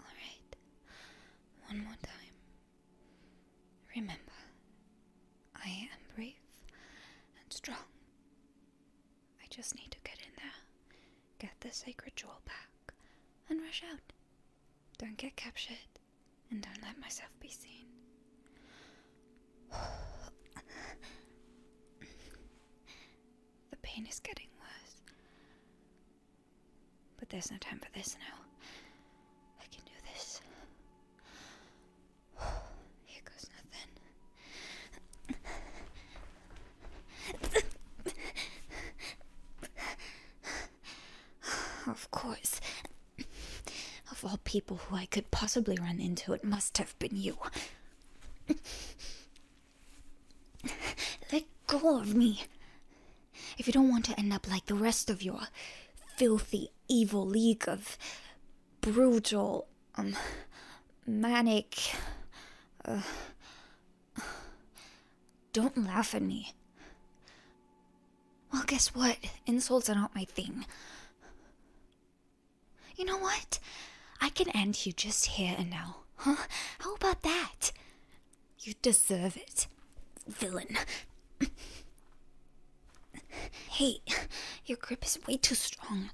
All right, one more time. Remember, I am brave and strong. I just need to get in there, get the sacred jewel back, and rush out. Don't get captured, and don't let myself be seen. the pain is getting worse. But there's no time for this now. I can do this. Here goes nothing. of course. Of all people who I could possibly run into, it must have been you. Let go of me. If you don't want to end up like the rest of your filthy, evil league of brutal, um, manic, uh, Don't laugh at me. Well, guess what? Insults are not my thing. You know what? I can end you just here and now. Huh? How about that? You deserve it, villain. hey, your grip is way too strong.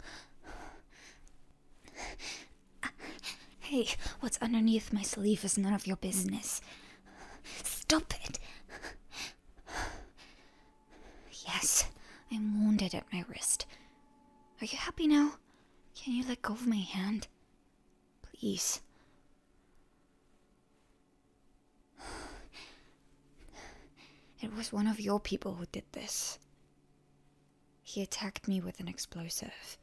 Hey, what's underneath my sleeve is none of your business. Stop it! Yes, I'm wounded at my wrist. Are you happy now? Can you let go of my hand? Please. It was one of your people who did this. He attacked me with an explosive.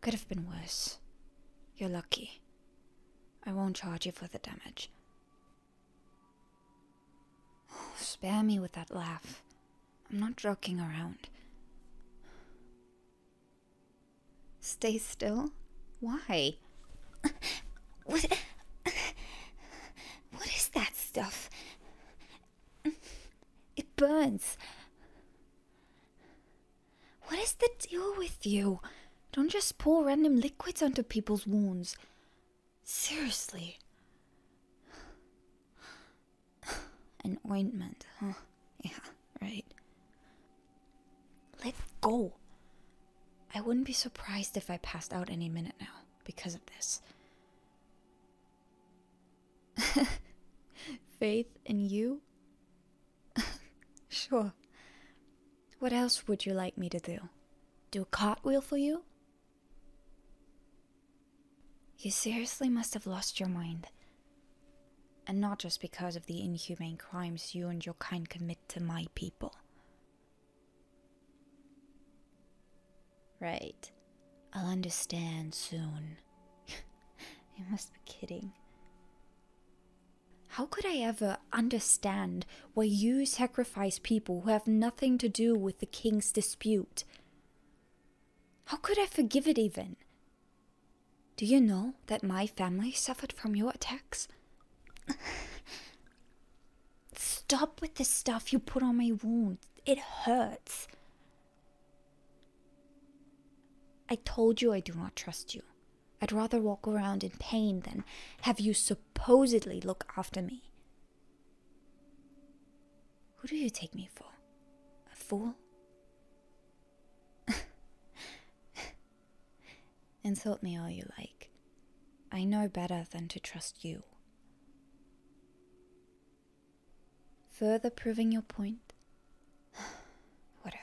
Could have been worse. You're lucky. I won't charge you for the damage. Oh, spare me with that laugh. I'm not joking around. Stay still? Why? what? What is that stuff? It burns. What is the deal with you? Don't just pour random liquids onto people's wounds. Seriously. An ointment, Yeah, right. Let go. I wouldn't be surprised if I passed out any minute now because of this. Faith in you? sure. What else would you like me to do? Do a cartwheel for you? You seriously must have lost your mind. And not just because of the inhumane crimes you and your kind commit to my people. Right. I'll understand soon. you must be kidding. How could I ever understand why you sacrifice people who have nothing to do with the king's dispute? How could I forgive it even? Do you know that my family suffered from your attacks? Stop with the stuff you put on my wounds. It hurts. I told you I do not trust you. I'd rather walk around in pain than have you supposedly look after me. Who do you take me for? A fool? Insult me all you like. I know better than to trust you further proving your point. Whatever.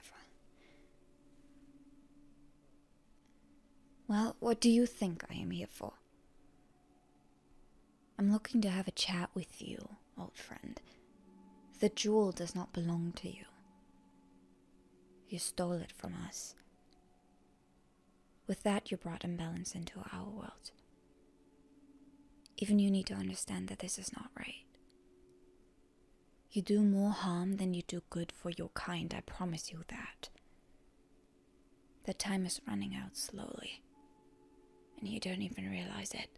Well, what do you think I am here for? I'm looking to have a chat with you, old friend. The jewel does not belong to you. You stole it from us. With that, you brought imbalance into our world. Even you need to understand that this is not right. You do more harm than you do good for your kind, I promise you that. The time is running out slowly, and you don't even realize it.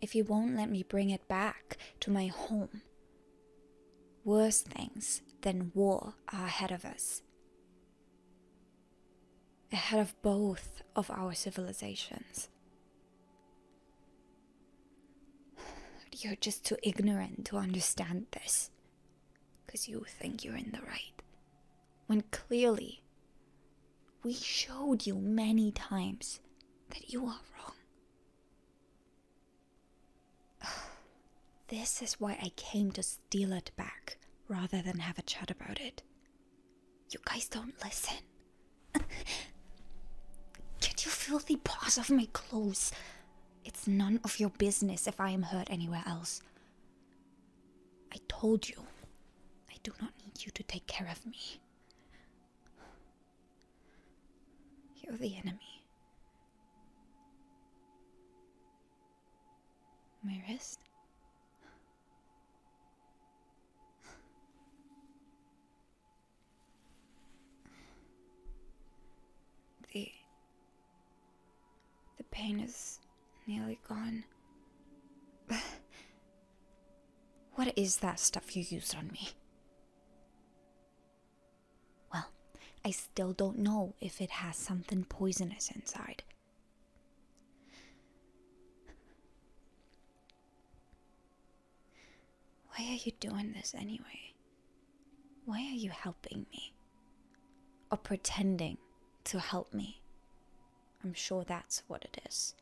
If you won't let me bring it back to my home, worse things than war are ahead of us. Ahead of both of our civilizations. You're just too ignorant to understand this. Because you think you're in the right. When clearly, we showed you many times that you are wrong. This is why I came to steal it back rather than have a chat about it. You guys don't listen. Get your filthy paws off my clothes. It's none of your business if I am hurt anywhere else. I told you, I do not need you to take care of me. You're the enemy. My wrist? The. The pain is nearly gone. what is that stuff you used on me? Well, I still don't know if it has something poisonous inside. Why are you doing this anyway? Why are you helping me? Or pretending to help me? I'm sure that's what it is.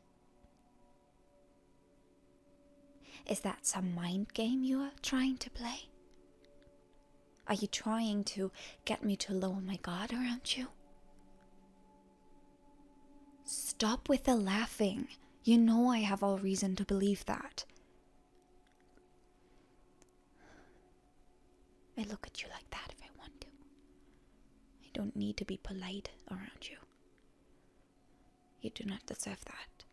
Is that some mind game you are trying to play? Are you trying to get me to lower my guard around you? Stop with the laughing. You know I have all reason to believe that. I look at you like that if I want to. I don't need to be polite around you. You do not deserve that.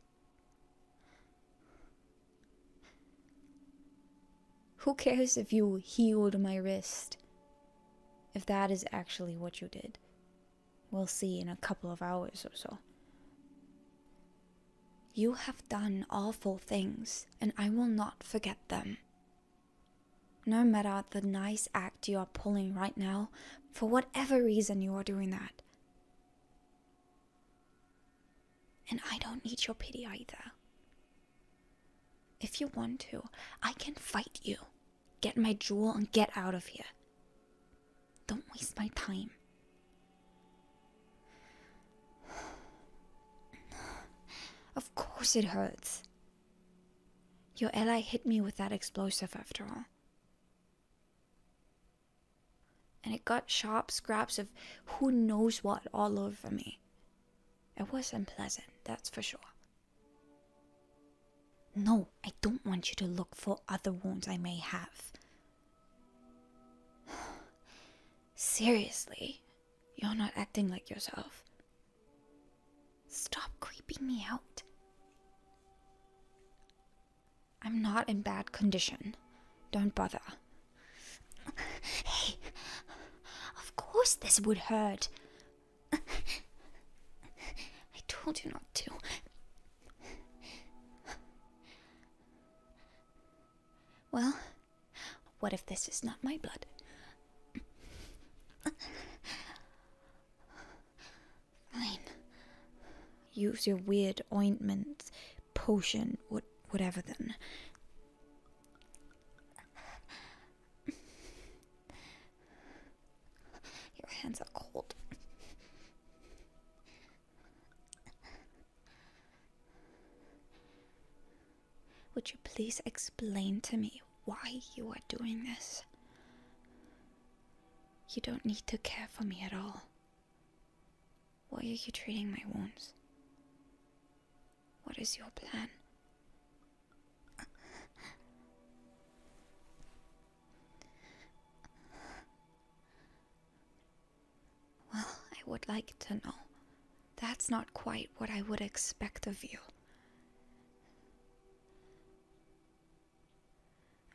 Who cares if you healed my wrist? If that is actually what you did, We'll see in a couple of hours or so. You have done awful things, and I will not forget them. No matter the nice act you are pulling right now, for whatever reason you are doing that. And I don't need your pity either. If you want to, I can fight you. Get my jewel and get out of here. Don't waste my time. Of course it hurts. Your ally hit me with that explosive after all. And it got sharp scraps of who knows what all over me. It was unpleasant, that's for sure. No, I don't want you to look for other wounds I may have. Seriously, you're not acting like yourself. Stop creeping me out. I'm not in bad condition. Don't bother. Hey, of course this would hurt. I told you not to. Well, what if this is not my blood? Fine. Use your weird ointment, potion, what, whatever then. Your hands are cold. Would you please explain to me why you are doing this? You don't need to care for me at all. Why are you treating my wounds? What is your plan? Well, I would like to know. That's not quite what I would expect of you.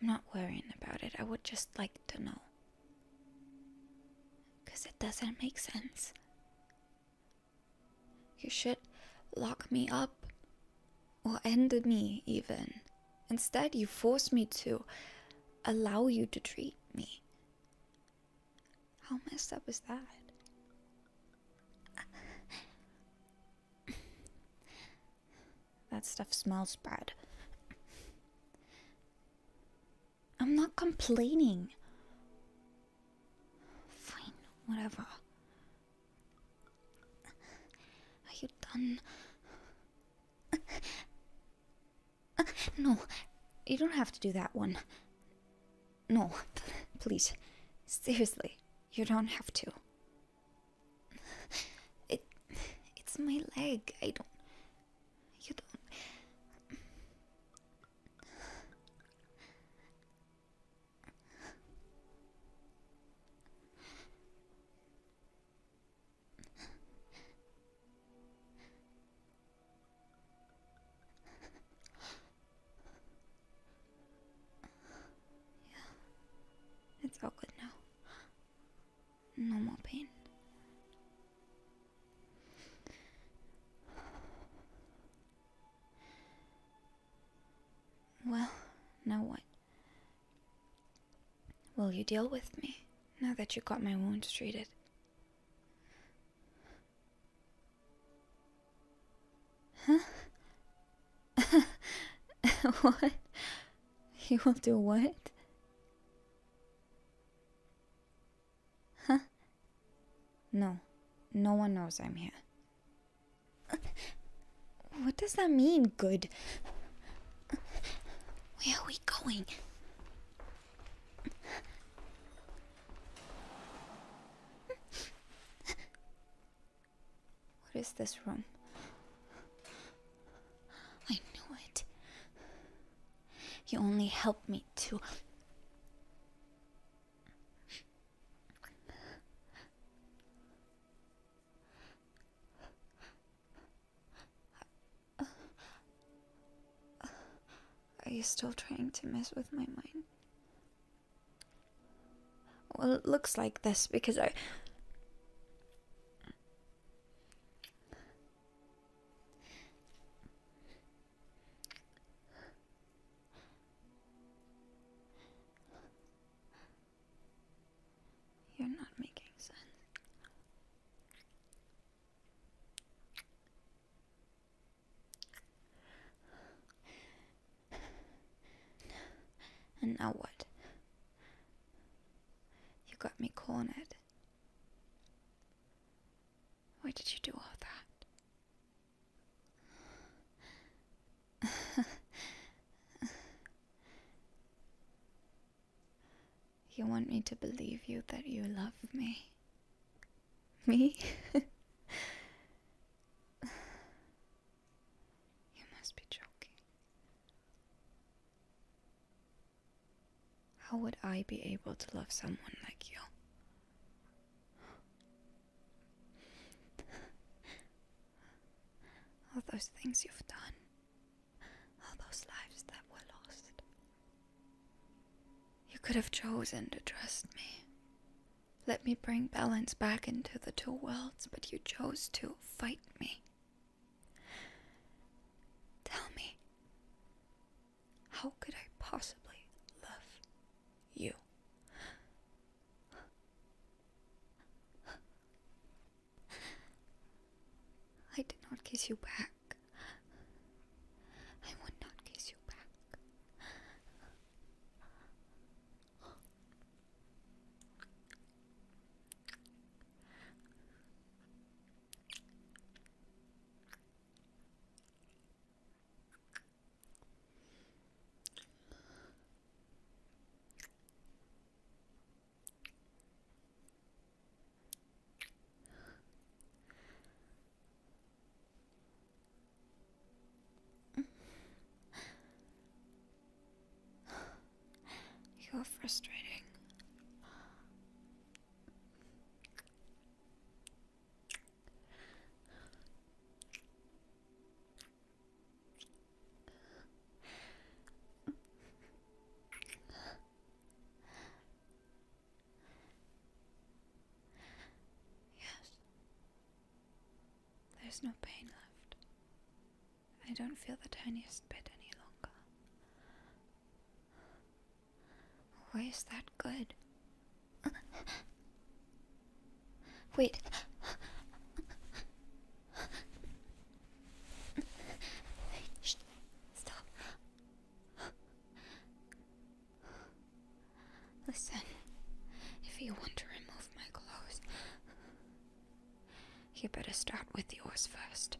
I'm not worrying about it. I would just like to know. Because it doesn't make sense. You should lock me up or ended me even. Instead, you force me to allow you to treat me. How messed up is that? that stuff smells bad. I'm not complaining. Fine, whatever. Are you done? no, you don't have to do that one. No, please. Seriously, you don't have to. It, it's my leg. I don't. You don't. Yeah, it's all good now. No more pain. Well, now what? Will you deal with me now that you got my wounds treated? Huh? what? You will do what? Huh? No, no one knows I'm here. What does that mean, good? Where are we going? What is this room? I knew it. You only helped me to. Are you still trying to mess with my mind? Well, it looks like this because I. You're not making sense. And now what? You got me cornered. Why did you do all that? you want me to believe you that you love me? Me? you must be joking. How would I be able to love someone like you? All those things you've done all those lives that were lost. You could have chosen to trust me. Let me bring balance back into the two worlds, but you chose to fight me. Tell me, how could I possibly love you? I did not kiss you back. I would not kiss you back. You're frustrating. Yes. There's no pain left. I don't feel the tiniest bit any longer. Why is that good? Wait. Stop. Listen, if you want to remove my clothes, you better start with yours first.